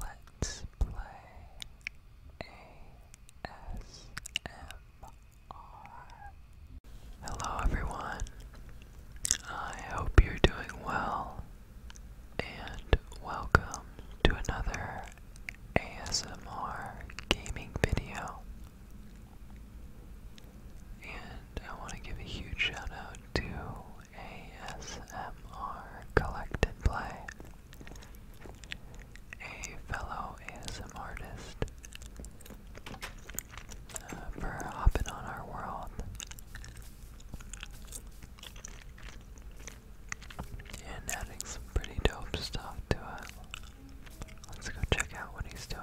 Let's play Hello, everyone. I hope you're doing well, and welcome to another ASMR gaming video. And I want to give a huge shout out to ASMR Collected Play. A fellow ASM artist uh, for hopping on our world. And adding some pretty dope stuff to it. Let's go check out what he's doing.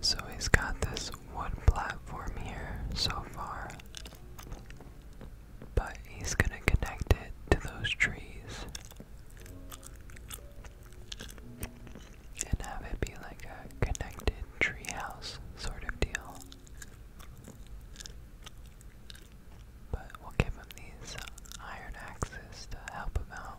So he's got this wood platform here so far, but he's going to connect it to those trees and have it be like a connected treehouse sort of deal. But we'll give him these iron axes to help him out.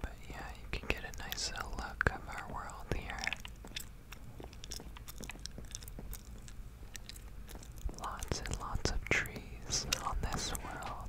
But yeah, you can get a nice little uh, look of our world here. Lots and lots of trees on this world.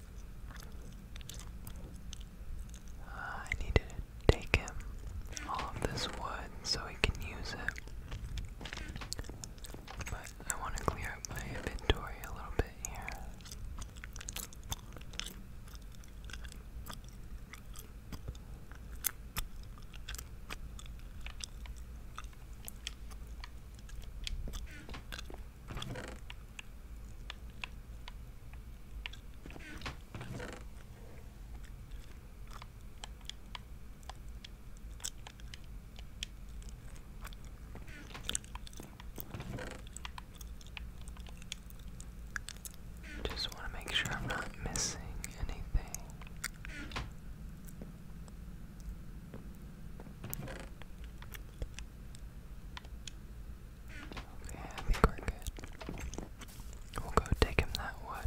I need to take him all of this wood so he can use it. But I want to clear up my inventory a little bit here. Just want to make sure I'm not missing anything. Okay, I think we're good. We'll go take him that wood.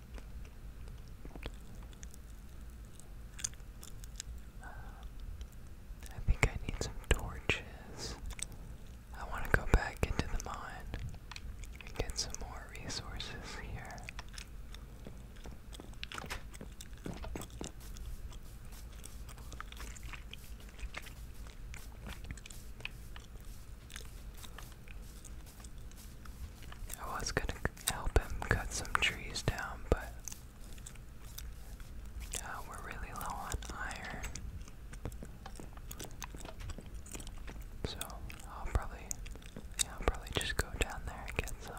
I think I need some torches. I want to go back into the mine and get some more resources here. I was gonna help him cut some trees down, but uh, we're really low on iron. So I'll probably, yeah, I'll probably just go down there and get some.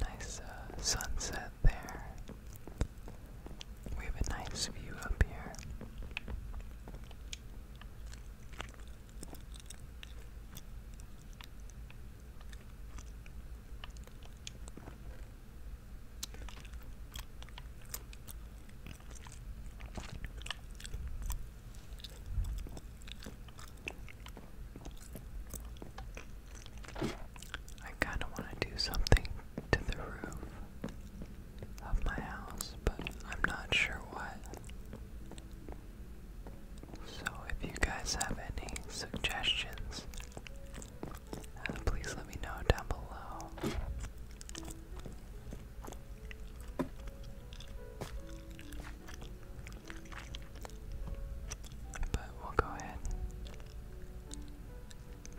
Nice uh, sunset there. We have a nice view up here. I kind of want to do something to the roof of my house, but I'm not sure what. So, if you guys have any suggestions, uh, please let me know down below. But we'll go ahead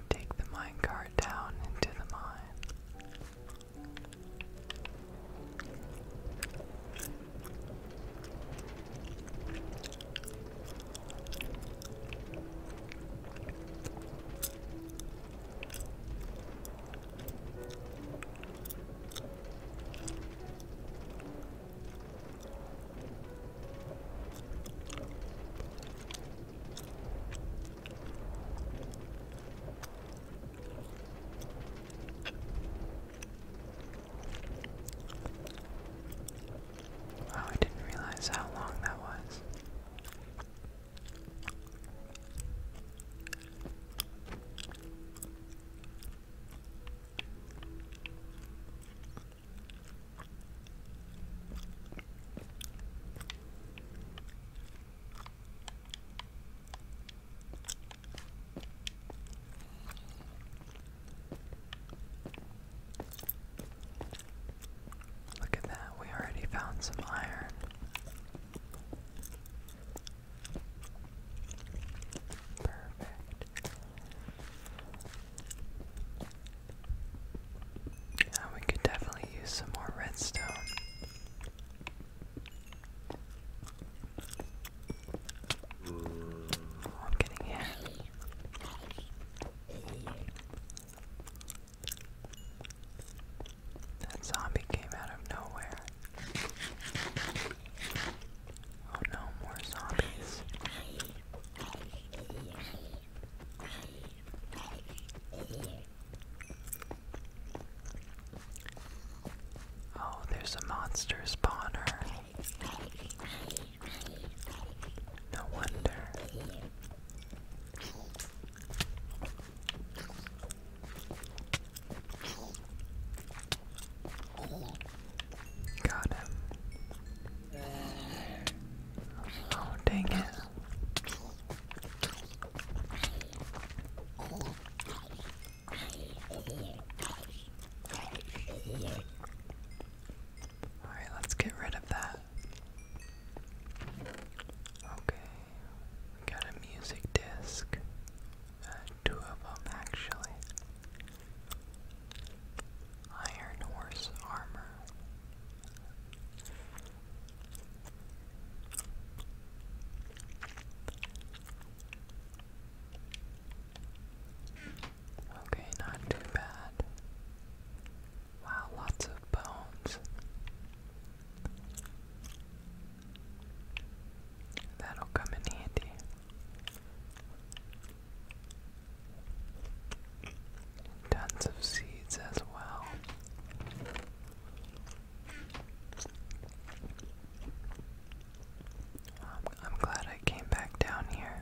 take the minecart down into the mine. Wow, oh, I didn't realize how long that was. Look at that, we already found some iron. Perfect we could definitely use some more redstone. Oh, I'm getting hit. That zombie came out of nowhere. Oh no, more zombies. Oh, there's a monster spawner. No wonder. Got him. Oh, dang it. Alright, let's get rid of that. Okay, got a music disc two of them actually. Iron Horse Armor. Okay, not too bad. Wow, lots of bones. That'll come in handy. Tons of seeds as well. Um, I'm, glad I came back down here.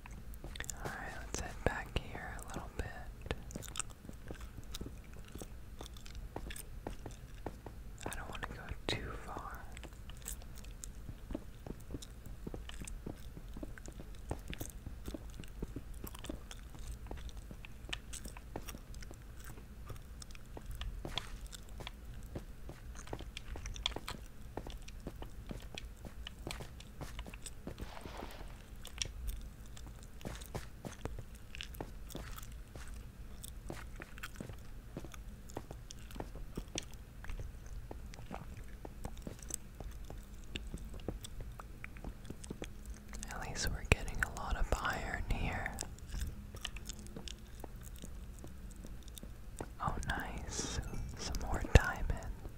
Alright, let's head back here a little bit. I don't want to go too far. At least we're getting a lot of iron here. Oh, nice. Some more diamond.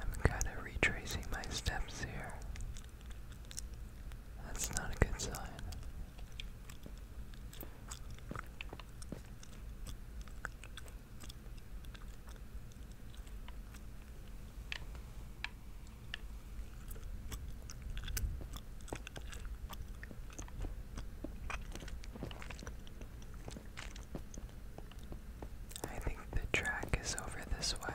I'm kind of retracing my steps here. That's not a good sign. I think the track is over this way.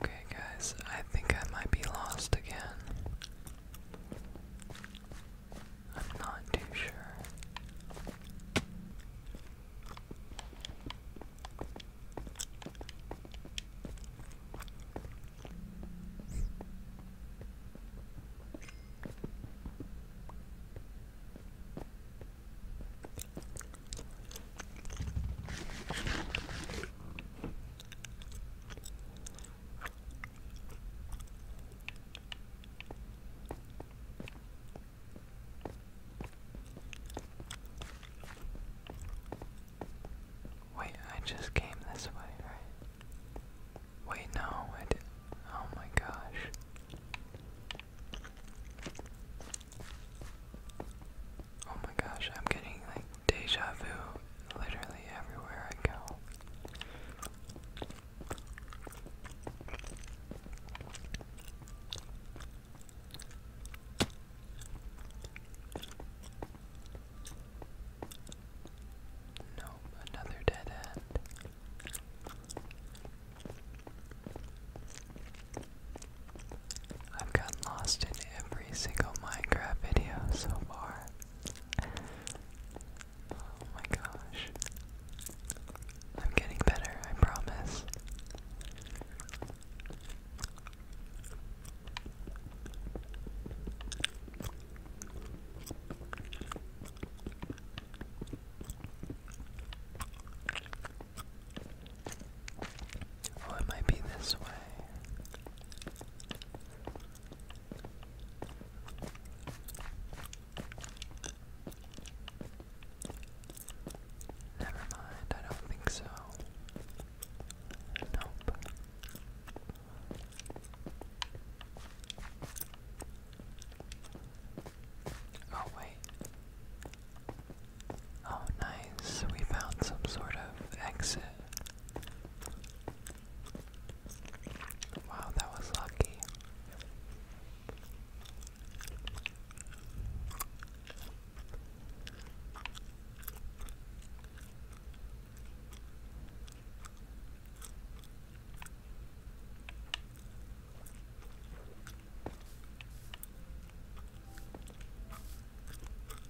Okay, guys, I think I might be lost again. I'm not too sure. Wait, I just came this way, right? Wait, no, I did. Oh my gosh. Oh my gosh, I'm getting like deja vu literally everywhere I go. Nope, another dead end. I've gotten lost in every single Minecraft video so far. Oh my gosh. I'm getting better, I promise. Oh, it might be this way. Never mind, I don't think so. Nope. Oh, wait. Oh, nice. We found some sort of exit. Wow, that was lucky.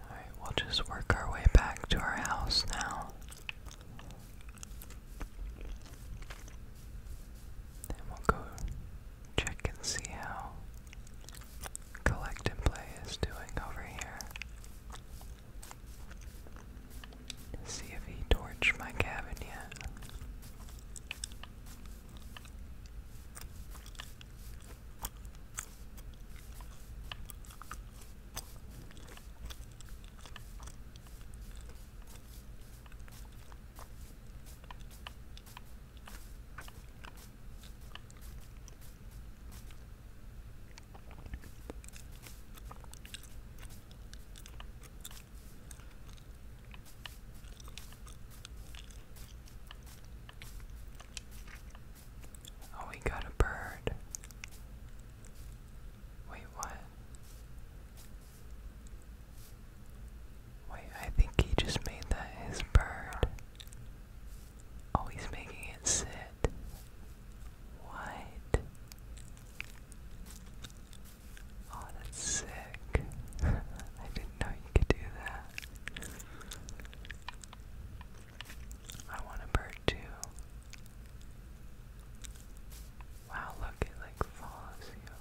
Alright, we'll just work our way back to our house now. And we go check and see how collect and play is doing over here. See if he torched my cabin yet. Oh, we got a bird. Wait, what? Wait, I think he just made that his bird. Oh, he's making it sit. What? Oh, that's sick. I didn't know you could do that. I want a bird too. Wow, look, it like follows you.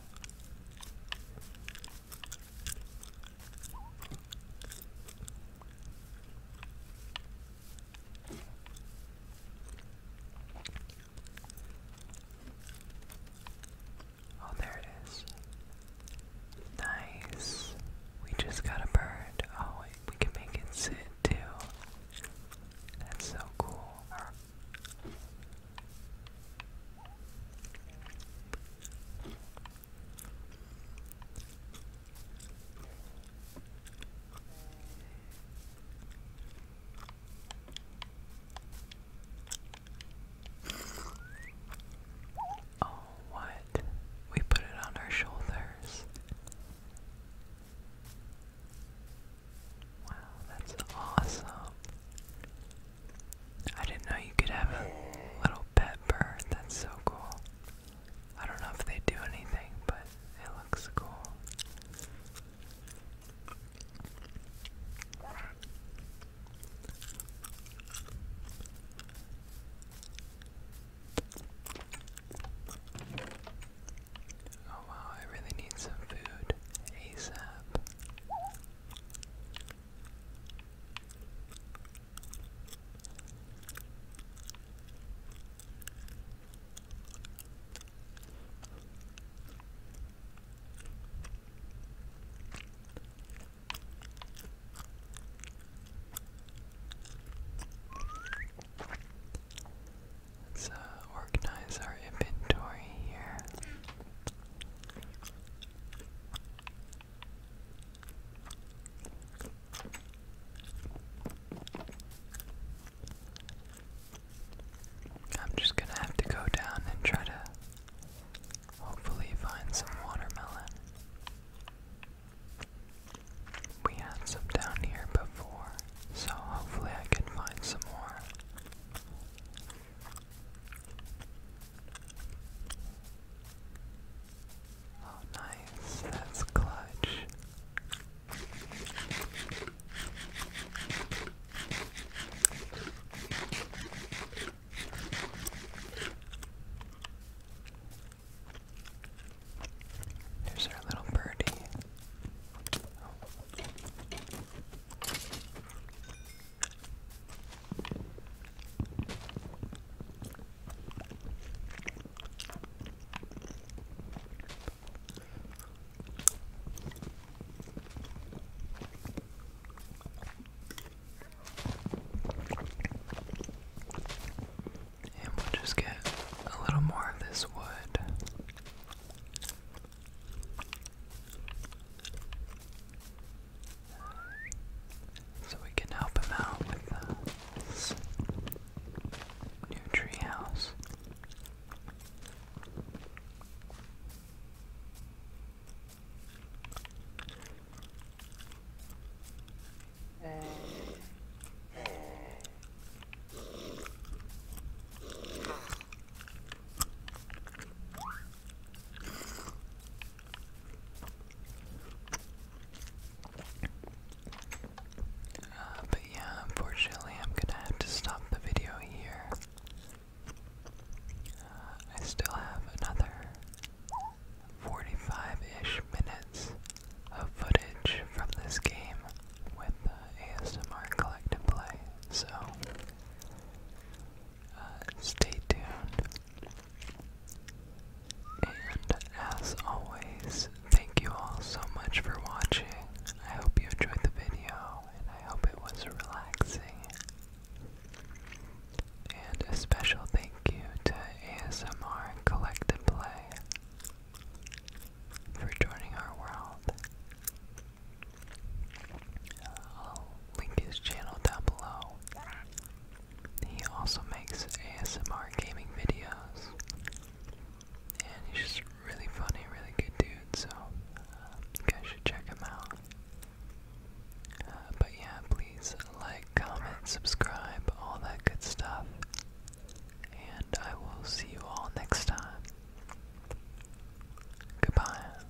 Oh, there it is. Nice. We just got a bird. Oh, we can make it sit too. That's so cool. Oh, what? We put it on our shoulders. Wow, that's awesome. I didn't know you could have a little pet bird. That's so cool. I don't know if they do anything, but it looks cool. Oh wow, I really need some food ASAP. Let's uh, organize our inventory here. I'm just gonna have to go down and try to hopefully find some watermelon. We had some down here before, so hopefully I can find some more. Oh, nice. That's clutch. There's our little birdie. And we'll just get a little more of this wood so we can help him out with the uh, new treehouse. Uh, but yeah, unfortunately, I'm gonna have to stop the video here. Uh, I still have another 45 ish minutes of footage from this game with the ASMR Collective Play, so uh, stay tuned. And as always, thank you all so much for watching. I hope you enjoyed the video and I hope it was relaxing. And a special thank you to ASMR Collective Play for joining our world link his channel down below. He also makes ASMR gaming videos, and he's just really funny, really good dude, so uh, guys should check him out. Uh, but yeah, please like, comment, subscribe, all that good stuff, and I will see you all next time. Goodbye.